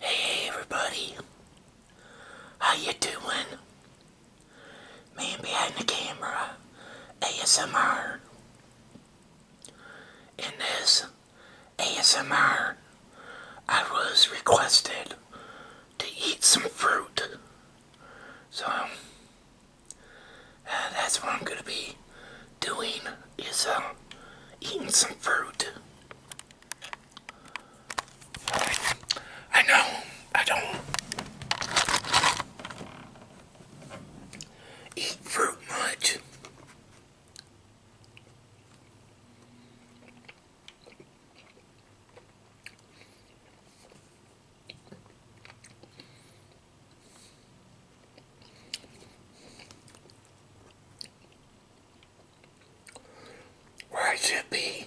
Hey everybody, how you doing? Man behind the camera, ASMR. In this ASMR, I was requested to eat some fruit. So, uh, that's where I'm going to be doing is uh, eating some fruit. I know I don't eat fruit much where I should be.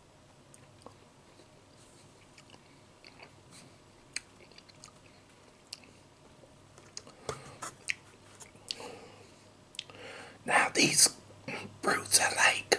Now these brutes are like.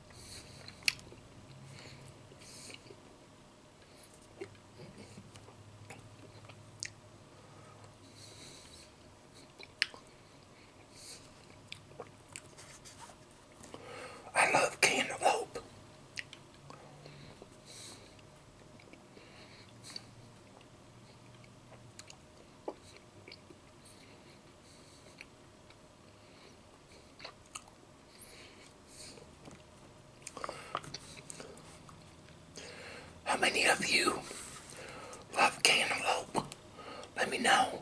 I love cantaloupe. How many of you love cantaloupe? Let me know.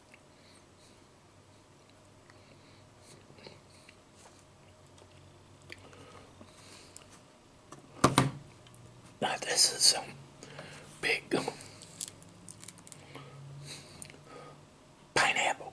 this is some big um, pineapple.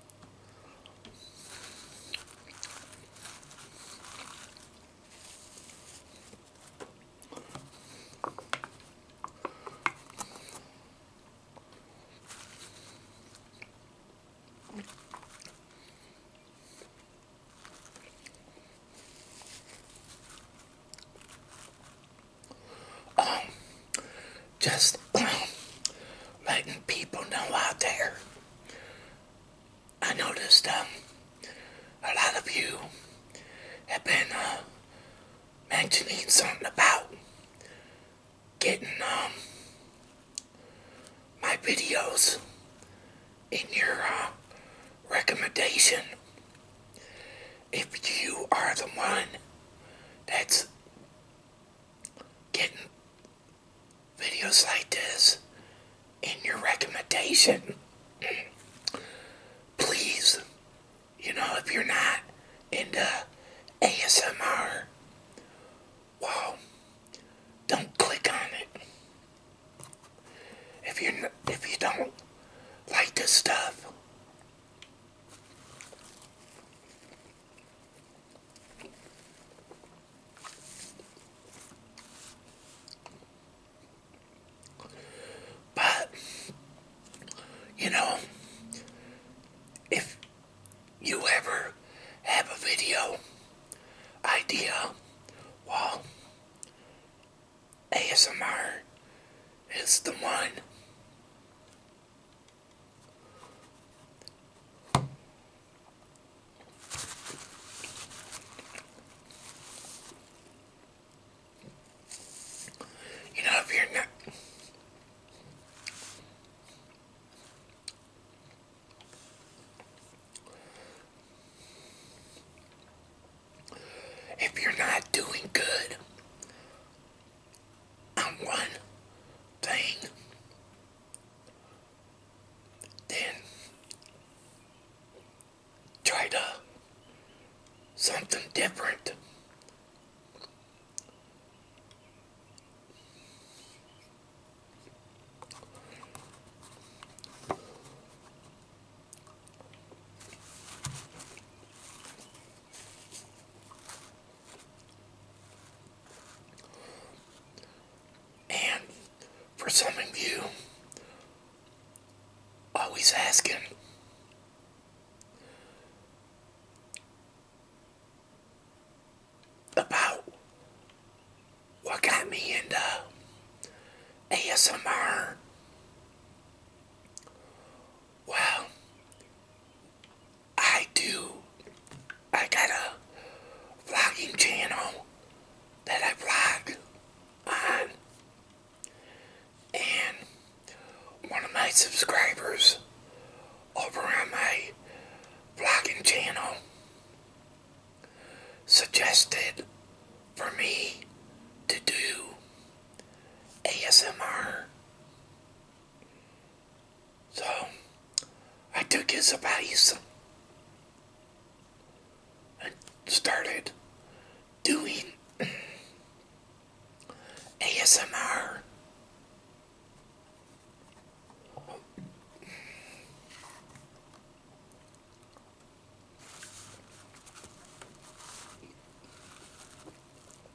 just letting people know out there I noticed um, a lot of you have been uh, mentioning something about getting um, my videos in your uh, recommendation. If you are the one that's getting videos like this in your recommendation. Please, you know, if you're not into ASMR, well, don't click on it. If you if you don't like this stuff, but, you know, if you ever have a video idea, well, ASMR is the one. You know, if you're not if you're not doing good on one thing, then try to something different. And for some of you always asking, about what got me into ASMR. Well, I do. I got a vlogging channel that I vlog on, and one of my subscribers over on my vlogging channel suggested for me to do ASMR so I took his advice and started doing ASMR.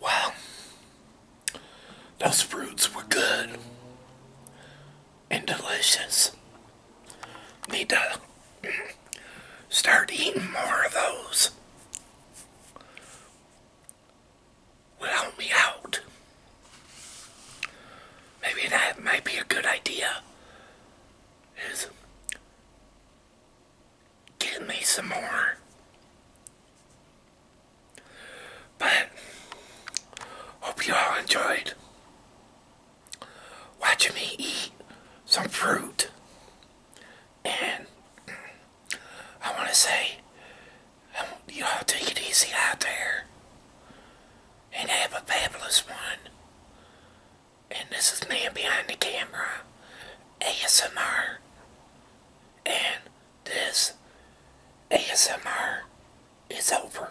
Wow, those fruits were good and delicious. Need to start eating more of those. Will me out. Maybe that might be a good idea. Is get me some more. But hope you all enjoyed watching me eat some fruit. And I want to say, I um, you all take it easy out there. And have a fabulous one. And this is me Behind the Camera, ASMR. And this ASMR is over.